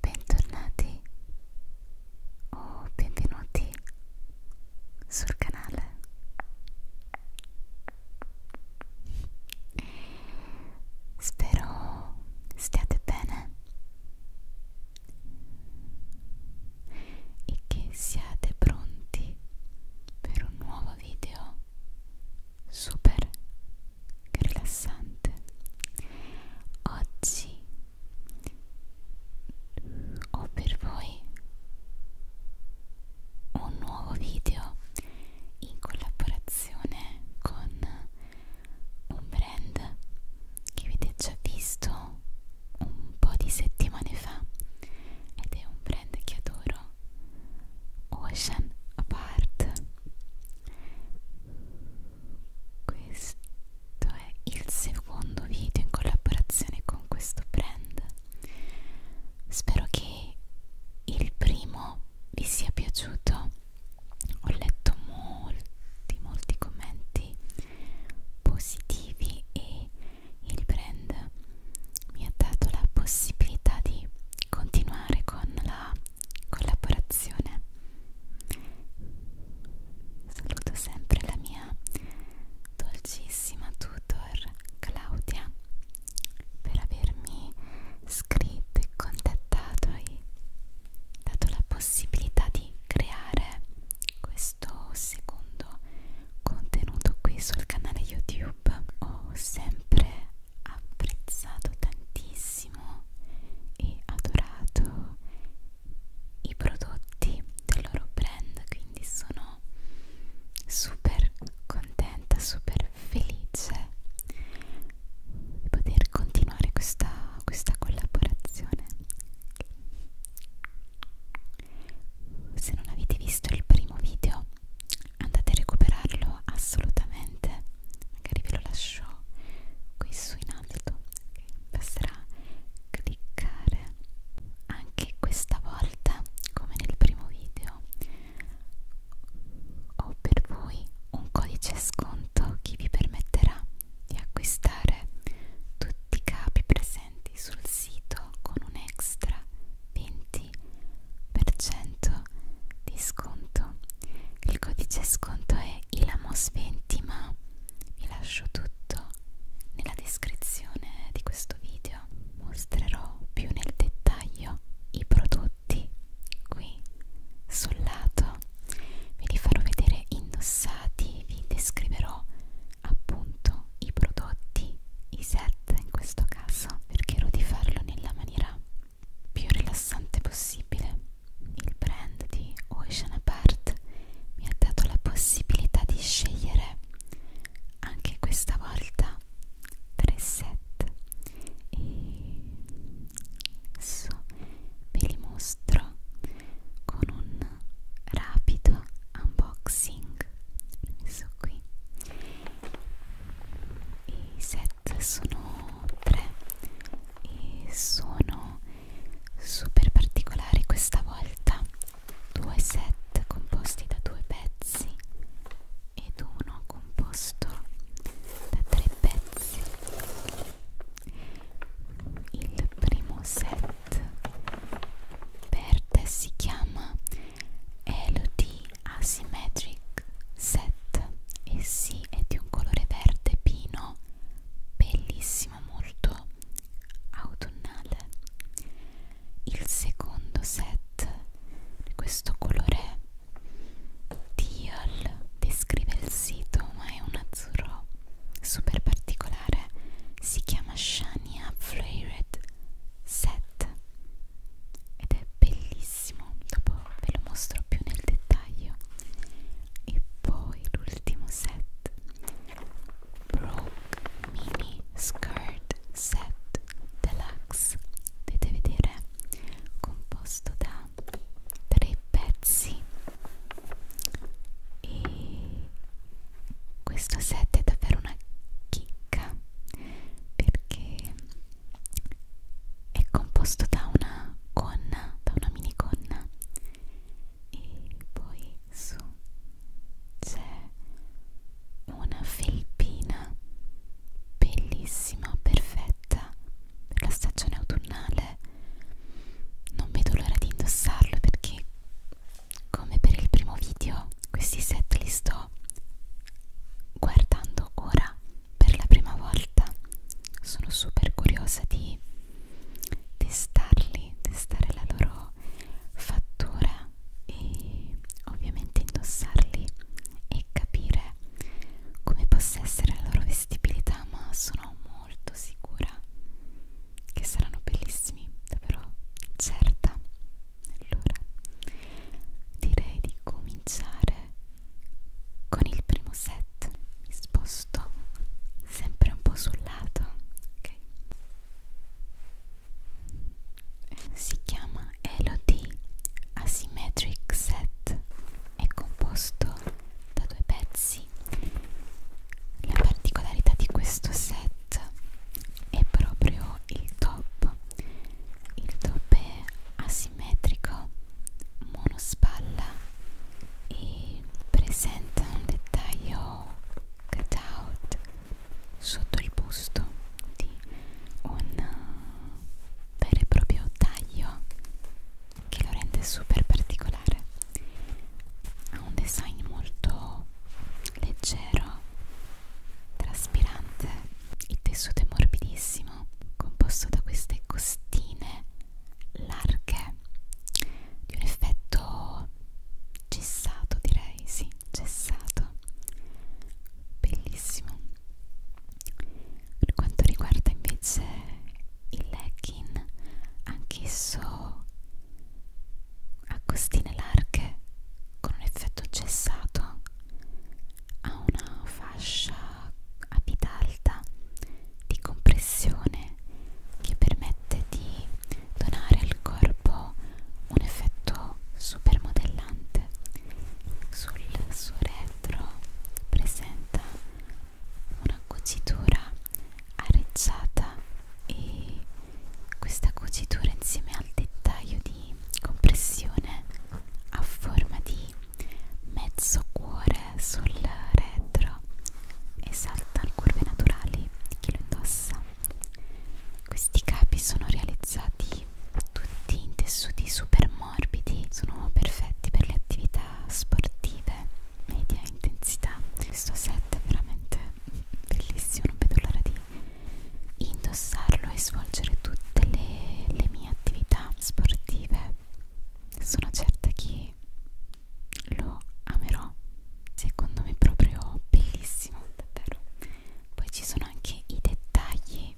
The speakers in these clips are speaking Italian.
Bentornati o benvenuti sul canale. Spero stiate bene e che siate pronti per un nuovo video super rilassante oggi ho per voi un nuovo video in collaborazione con un brand che avete già visto un po' di settimane fa ed è un brand che adoro Ocean Apart questo è il secondo video in collaborazione con questo brand spero che il primo vi sia piaciuto ho letto molti molti commenti positivi e il brand mi ha dato la possibilità di continuare con la collaborazione saluto sempre la mia dolcissima tutor Claudia per avermi scritto e contattato e dato la possibilità di creare questo secondo contenuto qui sul canale YouTube ho sempre apprezzato tantissimo e adorato i prodotti del loro brand quindi sono super contenta super felice di poter continuare questa, questa collaborazione se non avete visto il primo video andate a recuperarlo assolutamente magari ve lo lascio qui su in alto okay. basterà cliccare anche questa volta come nel primo video ho per voi un codice sconto che vi permetterà di acquistare tutti i capi presenti sul sito con un extra 20% di sconto il codice sconto è ILAMOS20 ma vi lascio tutto nella descrizione di questo video mostrerò più nel dettaglio i prodotti qui sul lato ve li farò vedere indossati vi descriverò appunto sono i prodotti, i set in questo caso, cercherò di farlo nella maniera più rilassante possibile. Il brand di Ocean Apart mi ha dato la possibilità di scegliere anche questa volta tre set e adesso ve li mostro con un rapido unboxing l'ho messo qui i set sono tre e sono super particolari questa volta due set composti da due pezzi ed uno composto da tre pezzi il primo set verde si chiama Elodie Asymmetric 7 e sì, è di un colore verde pino bellissimo, molto autunnale il secondo set di questo colore teal descrive il sito ma è un azzurro super particolare si chiama Shania Flavored 7 ed è bellissimo dopo ve lo mostro più nel dettaglio e poi l'ultimo set Broke Mini Skirt Set Deluxe potete vedere composto da tre pezzi e questo set è davvero una chicca perché è composto da una gonna, da una mini gonna e poi su c'è una felpina bellissima, perfetta per la stagione autunnale non vedo l'ora di indossarlo perché come per il primo video questi set li sto guardando ora per la prima volta sono super curiosa di testarli testare la loro fattura e ovviamente indossarli e capire come possa essere la loro vestibilità ma sono molto sicura che saranno bellissimi davvero certa allora, direi di cominciare con il primo set. Mi sposto sempre un po' sul lato, ok? Si chiama Elodie Asymmetric Set. È composto da due pezzi. La particolarità di questo set set è proprio il top il top è asimmetrico monospalla e presenta un dettaglio cut out sotto il busto di un vero e proprio taglio che lo rende super particolare ha un design molto leggero, traspirante. Il tessuto è morbidissimo, composto da queste costine larghe, di un effetto cessato direi, sì, cessato. Bellissimo. Per quanto riguarda invece il legging, anch'esso a costine larghe con un effetto cessato ha una fascia a vita alta di compressione che permette di donare al corpo un effetto super modellante sul suo retro presenta una cucitura arecciata e questa cucitura insieme al dettaglio di compressione a forma di mezzo cuore sul retro esalta le curve naturali di chi lo indossa. Questi capi sono realizzati tutti in tessuti super morbidi, sono perfetti per le attività sportive media intensità questo set è veramente bellissimo non vedo l'ora di indossarlo e svolgere tutte le, le mie attività sportive sono certa che lo amerò secondo me è proprio bellissimo davvero poi ci sono anche i dettagli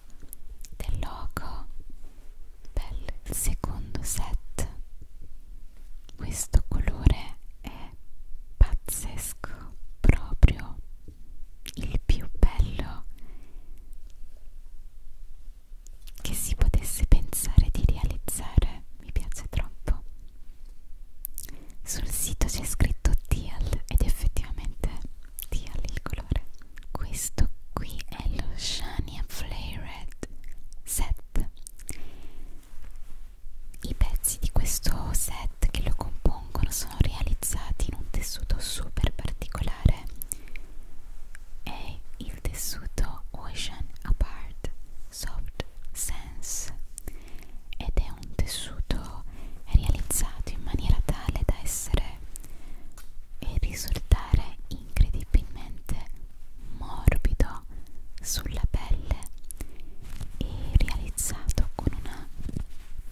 del logo bello il secondo set questo colore è pazzesco, proprio il più bello che si potesse pensare di realizzare, mi piace troppo. Sul sito c'è scritto Teal ed effettivamente Teal il colore. Questo qui è lo Shania Flay Red 7 set i pezzi di questo set che lo compongono sono realizzati in un tessuto super particolare è il tessuto Ocean Apart Soft Sense ed è un tessuto realizzato in maniera tale da essere e risultare incredibilmente morbido ho sulla pelle e realizzato con una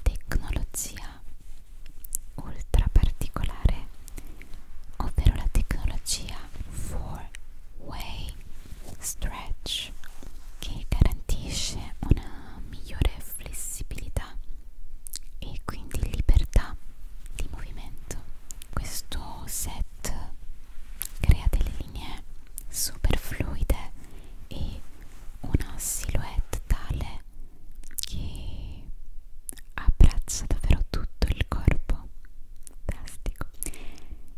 tecnologia ultra particolare ovvero la tecnologia 4-way stretch che garantisce una migliore flessibilità e quindi libertà di movimento questo set palette crea delle linee super fluide e una silhouette tale che abbraccia davvero tutto il corpo fantastico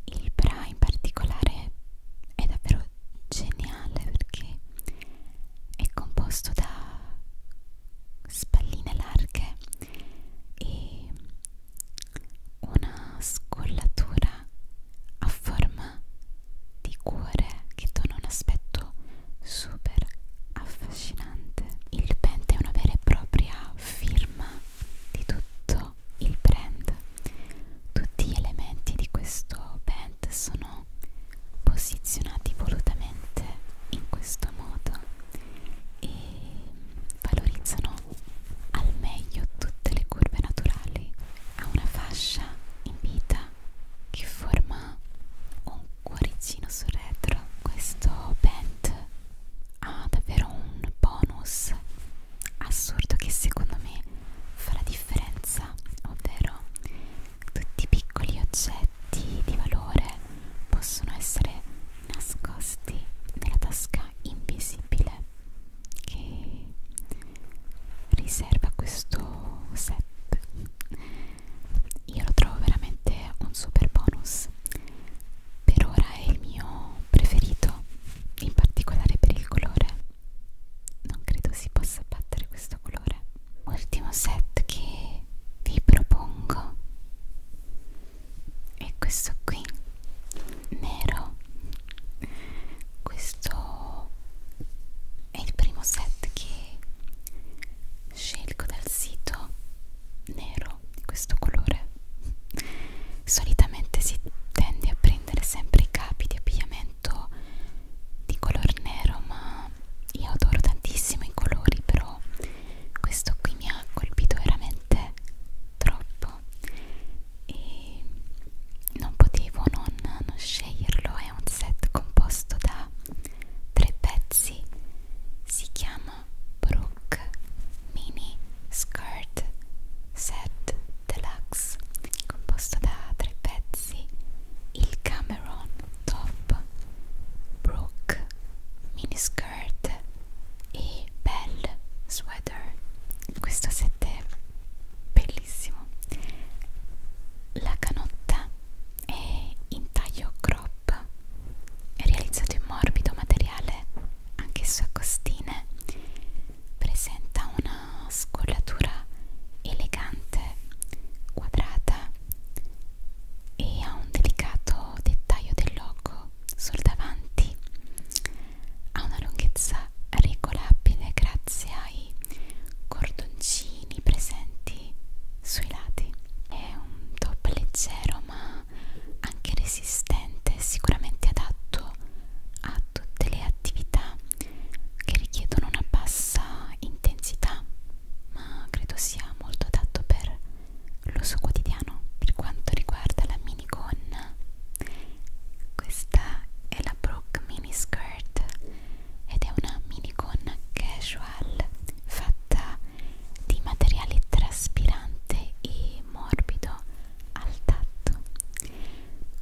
il bra in particolare è davvero geniale perché è composto da spalline larghe e una scollatura a forma di cuore che dona un aspetto super affascinante. Il pent è una vera e propria firma di tutto il brand. Tutti gli elementi di questo pent sono posizionati volutamente in questo modo e valorizzano al meglio tutte le curve naturali ha una fascia in vita che forma un cuoricino sul retro questo band ha davvero un bonus assurdo che secondo me fa la differenza ovvero tutti i piccoli oggetti di valore possono essere nascosti nella tasca invisibile che riserva questo set io lo trovo veramente un super bonus per ora è il mio preferito in particolare per il colore non credo si possa battere questo colore ultimo set che vi propongo e questo qui nero questo è il primo set che scelgo dal sito nero di questo colore solitamente si tende a prendere sempre i capi di abbigliamento di color nero ma io adoro tantissimo i colori però questo qui mi ha colpito veramente veramente troppo e non potevo non, non sceglierlo è un set composto da tre pezzi si chiama Brooke Mini Skirt Set Deluxe composto da tre pezzi il Cameron Top Brooke Mini Skirt skirt e bell sweater questo set è bellissimo la canotta è in taglio crop è realizzato in morbido materiale anch'esso a costine presenta una scollatura elegante quadrata e ha un delicato dettaglio del logo sul davanti ha una lunghezza regolabile grazie ai cordoncini presenti sui lati è un top leggero ma anche resistente sicuramente adatto a tutte le attività che richiedono una bassa intensità ma credo sia molto adatto per l'uso quotidiano per quanto riguarda la minigonna questa è la Brooke Mini Skirt ed è una minigonna casual fatta di materiale traspirante e morbido al tatto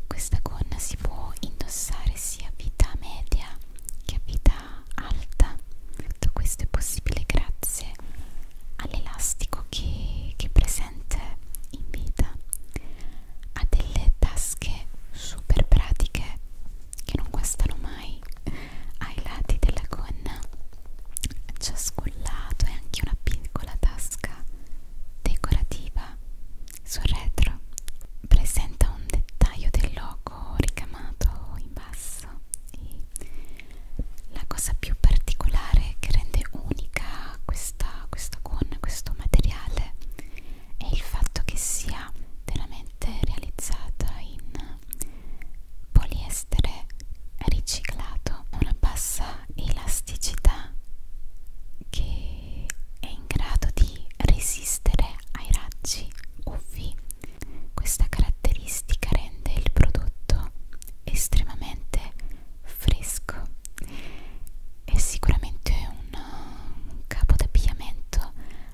questa gonna si può indossare sia a vita media che a vita alta tutto questo è possibile grazie all'elastico che, che è presente in vita ha delle tasche super pratiche che non guastano mai ai lati della gonna ciascun lato è anche una piccola tasca decorativa sul retro presenta un dettaglio del logo poco ricamato in basso e la cosa più particolare che rende unica questa, questa gonna, questo materiale è il fatto che sia veramente realizzata in poliestere riciclato una bassa elasticità che è in grado di resistere ai raggi UV questa caratteristica rende il prodotto estremamente fresco. È sicuramente un, un capo d'abbigliamento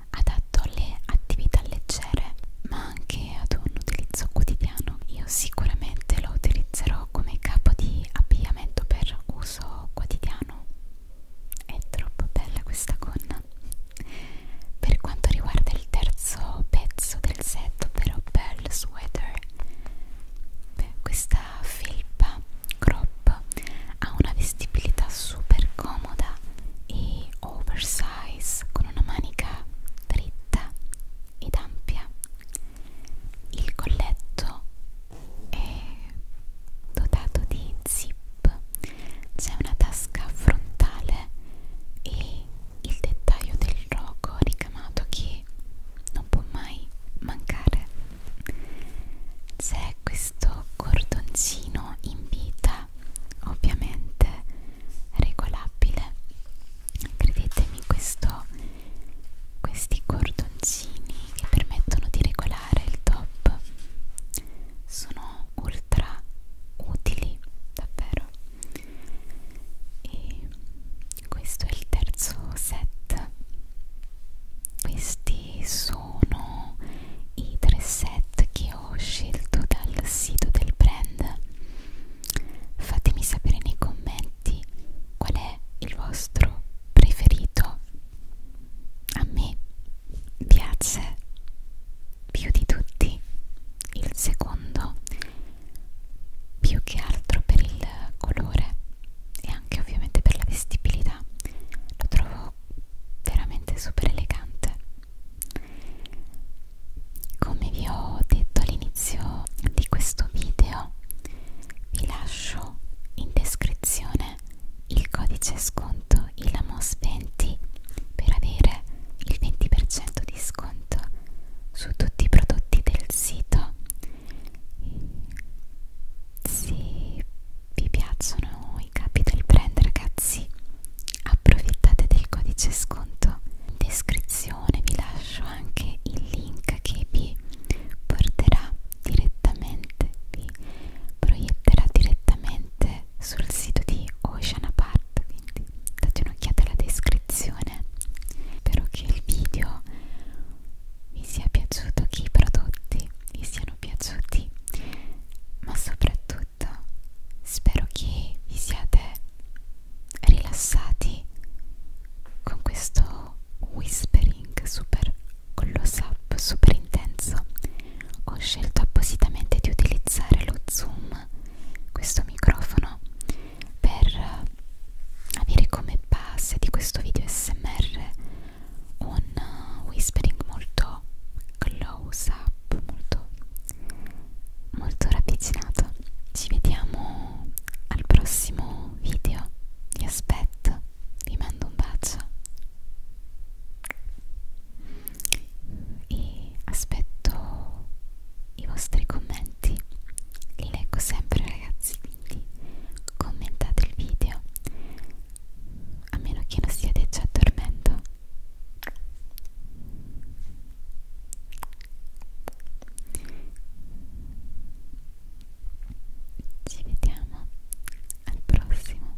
adatto alle attività leggere, ma anche ad un utilizzo quotidiano. Io sicuramente lo utilizzerò come capo di abbigliamento per uso quotidiano. È troppo bella questa gonna. Per quanto riguarda il terzo pezzo del set, ovvero Bell Sweater, beh, questa felpa crop ha una vestibilità super comoda e oversize con una manica dritta ed ampia. Il colletto è dotato di zip c'è una tasca frontale e il dettaglio del rogo ricamato che non può mai mancare c'è questo cordoncino in vita ovviamente regolabile credetemi questo questi cordoncini che permettono di regolare il top sono ultra stra utili davvero e questo è il terzo set questi sono i tre set che ho scelto dal sito del brand fatemi sapere nei commenti qual è il vostro preferito a me piace più di tutti il secondo più che altro per il colore e anche ovviamente per la vestibilità lo trovo veramente super elegante come vi ho detto all'inizio di questo video vi lascio in descrizione il codice sconto ILAMOS20 per avere il 20% di sconto su tutti i prodotti del sito se vi piacciono i capi del brand ragazzi approfittate del codice sconto in descrizione vi lascio anche il link che vi porterà direttamente vi proietterà direttamente trovate sul sito di Ocean Apart, quindi date un'occhiata alla descrizione. Spero che il video vi sia piaciuto, che i prodotti vi siano piaciuti, ma soprattutto spero che vi siate rilassati con questo whispering super con lo sap super intenso ho scelto appositamente di utilizzare lo zoom questo microfono per eh, avere come base di questo video smr un eh, whispering molto close up molto, molto ravvicinato ci vediamo al prossimo video vi aspetto vi mando un bacio e aspetto i vostri commenti li leggo sempre ragazzi quindi commentate il video a meno che non stiate già dormendo ci vediamo al prossimo